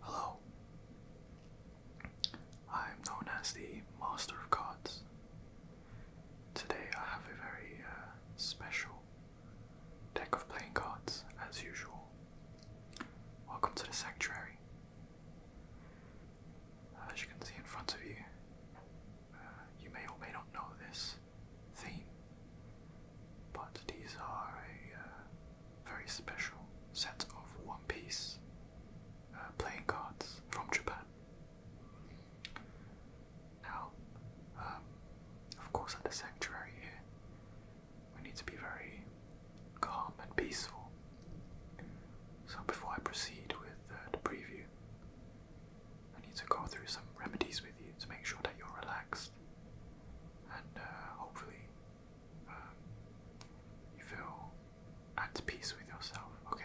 Hello. I am known as the Master of Cards. Today I have a very uh, special deck of playing cards, as usual. Welcome to the Sanctuary. As you can see in front of you, uh, you may or may not know this, theme, but these are a uh, very special set of One Piece uh, playing cards from Japan. Now, um, of course, at the sanctuary here, we need to be very calm and peaceful. So, before I proceed with uh, the preview, I need to go through some remedies with you to make sure that you're relaxed and uh, hopefully um, you feel at peace with yourself. Okay.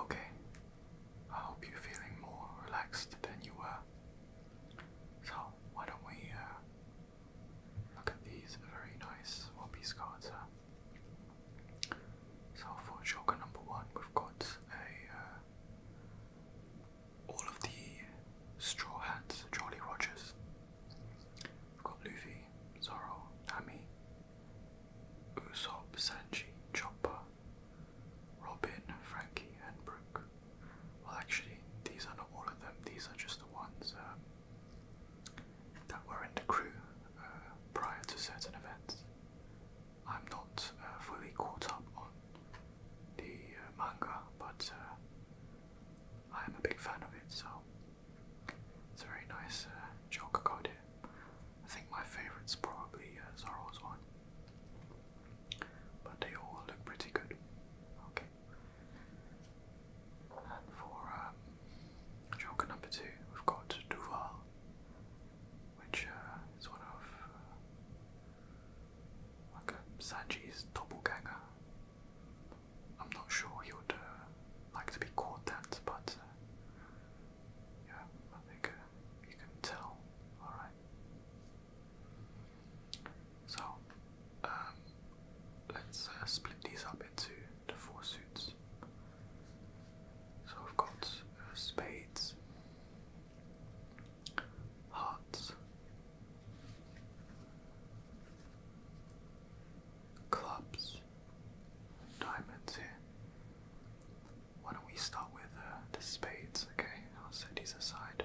Okay, I hope you're feeling more relaxed than you were. So, why don't we uh, look at these very nice one cards? Huh? So, for Joker number one, we've got a uh, all of the Straw Hats, Jolly Rogers. We've got Luffy, Zoro, Nami, Usopp, Sanji, Chopper, Robin, Frankie, and Brooke. Well, actually, these are not all of them, these are just the ones um, that were in the crew uh, prior to certain events. I'm not uh, fully caught up on the uh, manga, but uh, I am a big fan of it, so it's a very nice uh, Joker code here. I think my favorite is probably uh, Zoro's one, but they all look pretty good. Okay. And for Joker um, number two, we've got Duval, which uh, is one of like a Sanji's doppelganger. I'm not sure he would uh, like to be called that, but uh, yeah, I think uh, you can tell. All right. So um, let's split these up into the four suits. So we've got spades, hearts, clubs, diamonds here. Why don't we start with uh, the spades, okay? I'll set these aside.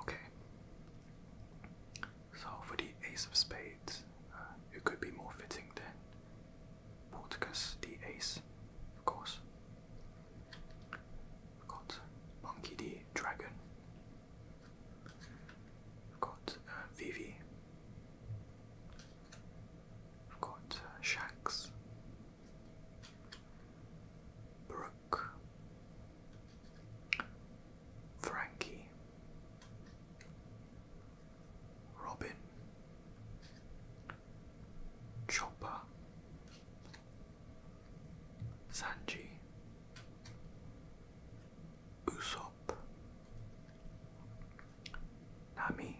Okay. So for the Ace of Spades, uh, it could be more fitting than Porticus the Ace, of course. got Monkey the Dragon. We've uh, Vivi. We've got uh, Shanks, Brooke, Frankie, Robin, Chopper, Sanji, Usopp, Nami,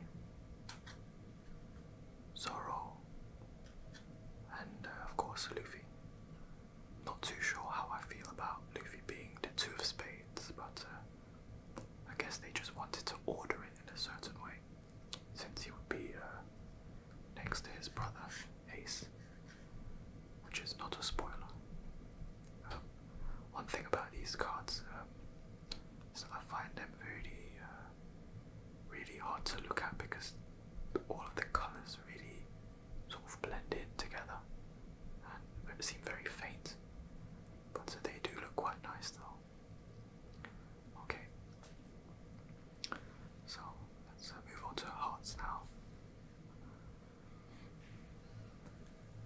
Zoro, and uh, of course Luffy. Not too sure how I feel about Luffy being the Two of Spades, but uh, I guess they just wanted to order it in a certain way, since he would be uh, next to his brother Ace, which is not a spoiler. Um, one thing about these cards, um, so I find them really, uh, really hard to look at because all of the colours really sort of blend in together and seem very faint. But they do look quite nice though. Okay. So let's uh, move on to hearts now.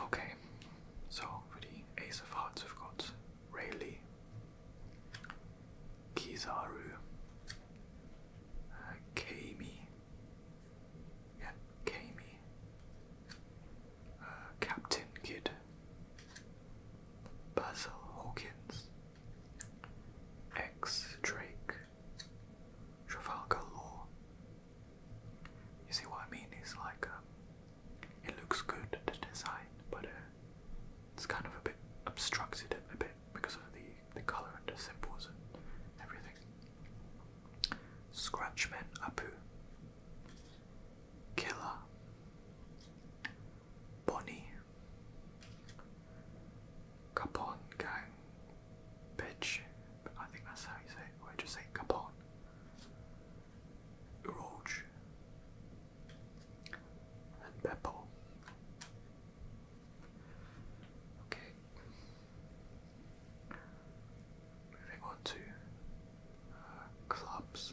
Okay, so for the Ace of Hearts, of have Rayleigh, Kizaru, uh, Kami, yeah, Kami, uh, Captain Kidd, Basil Hawkins, X Drake, Trafalgar Law. You see what I mean? It's like um, it looks good, the design, but uh, it's kind of a bit obstructed a bit because of the, the colour and the symbols and everything. Scratchman Apu, Killer, Bonnie, Capone Gang, Bitch, I think that's how you say it, I just say Capone. Roach and Beppo. Okay. Moving on to uh, clubs.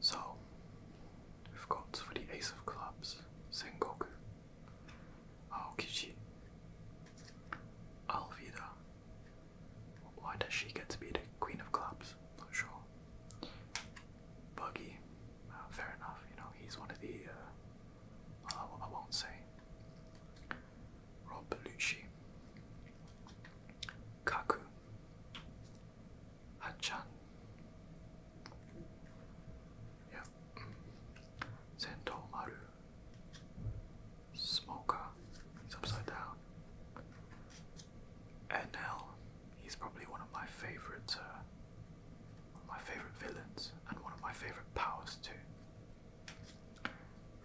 So, we've got for the Ace of Clubs, Sengoku, Aokichi, Alvida. Why does she get to be the Queen of Clubs? Not sure. Buggy, ah, fair enough. You know he's one of the. Uh, I won't say. Rob Belushi, Kaku, Hachan. Yep. Zentomaru. Smoker. He's upside down. NL. He's probably one of my favorites. Uh, my favorite villains and one of my favorite powers too.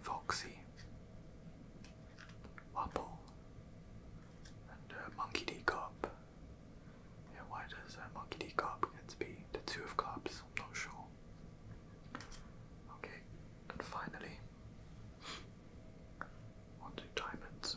Foxy, Wapple, and uh, Monkey D Carp. Yeah, why does uh, Monkey D Carp get to be the two of cups? I'm not sure. Okay, and finally, one two diamonds.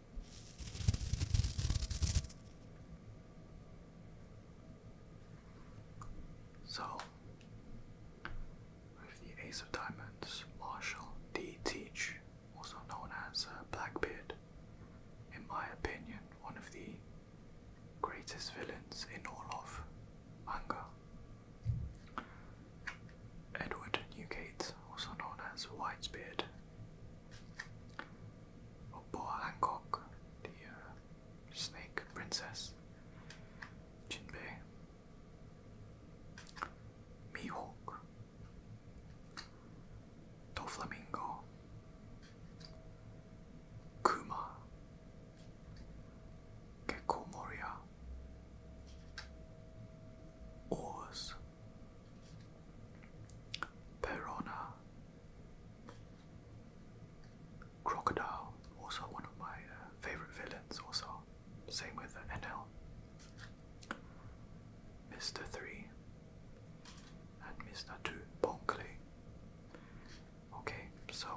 So, with the Ace of Diamonds, Marshall D. Teach, also known as uh, Blackbeard, in my opinion, one of the greatest villains in all of manga. Edward Newgate, also known as Whitebeard, Oh, Hancock, the uh, snake princess. Jinbei. Mihawk. Doflamingo. Kuma. Gecko Moria. Perona. Crocodile, also one of my uh, favorite villains, also. Same with uh, NL. Mr. 3 and Mr. 2, Bonkley. Okay, so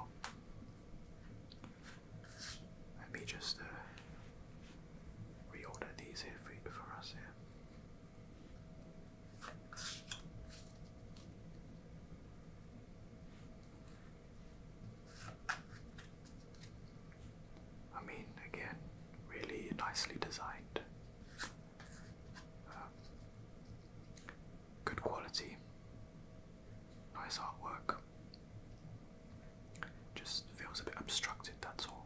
let me just uh, reorder these here for us here. I mean, again, really nicely designed. Um, good quality, nice artwork. Just feels a bit obstructed, that's all.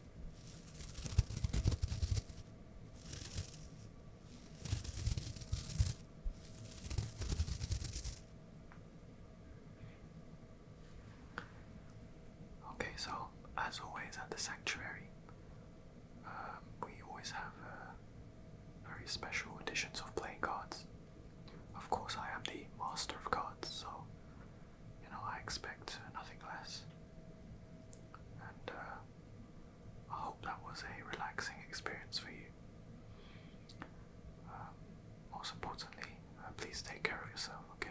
Okay, so as always at the sanctuary, um, we always have uh, very special editions of playing cards. Of course, I am the master of cards, so you know I expect nothing less. And uh, I hope that was a relaxing experience for you. Um, most importantly, uh, please take care of yourself, okay?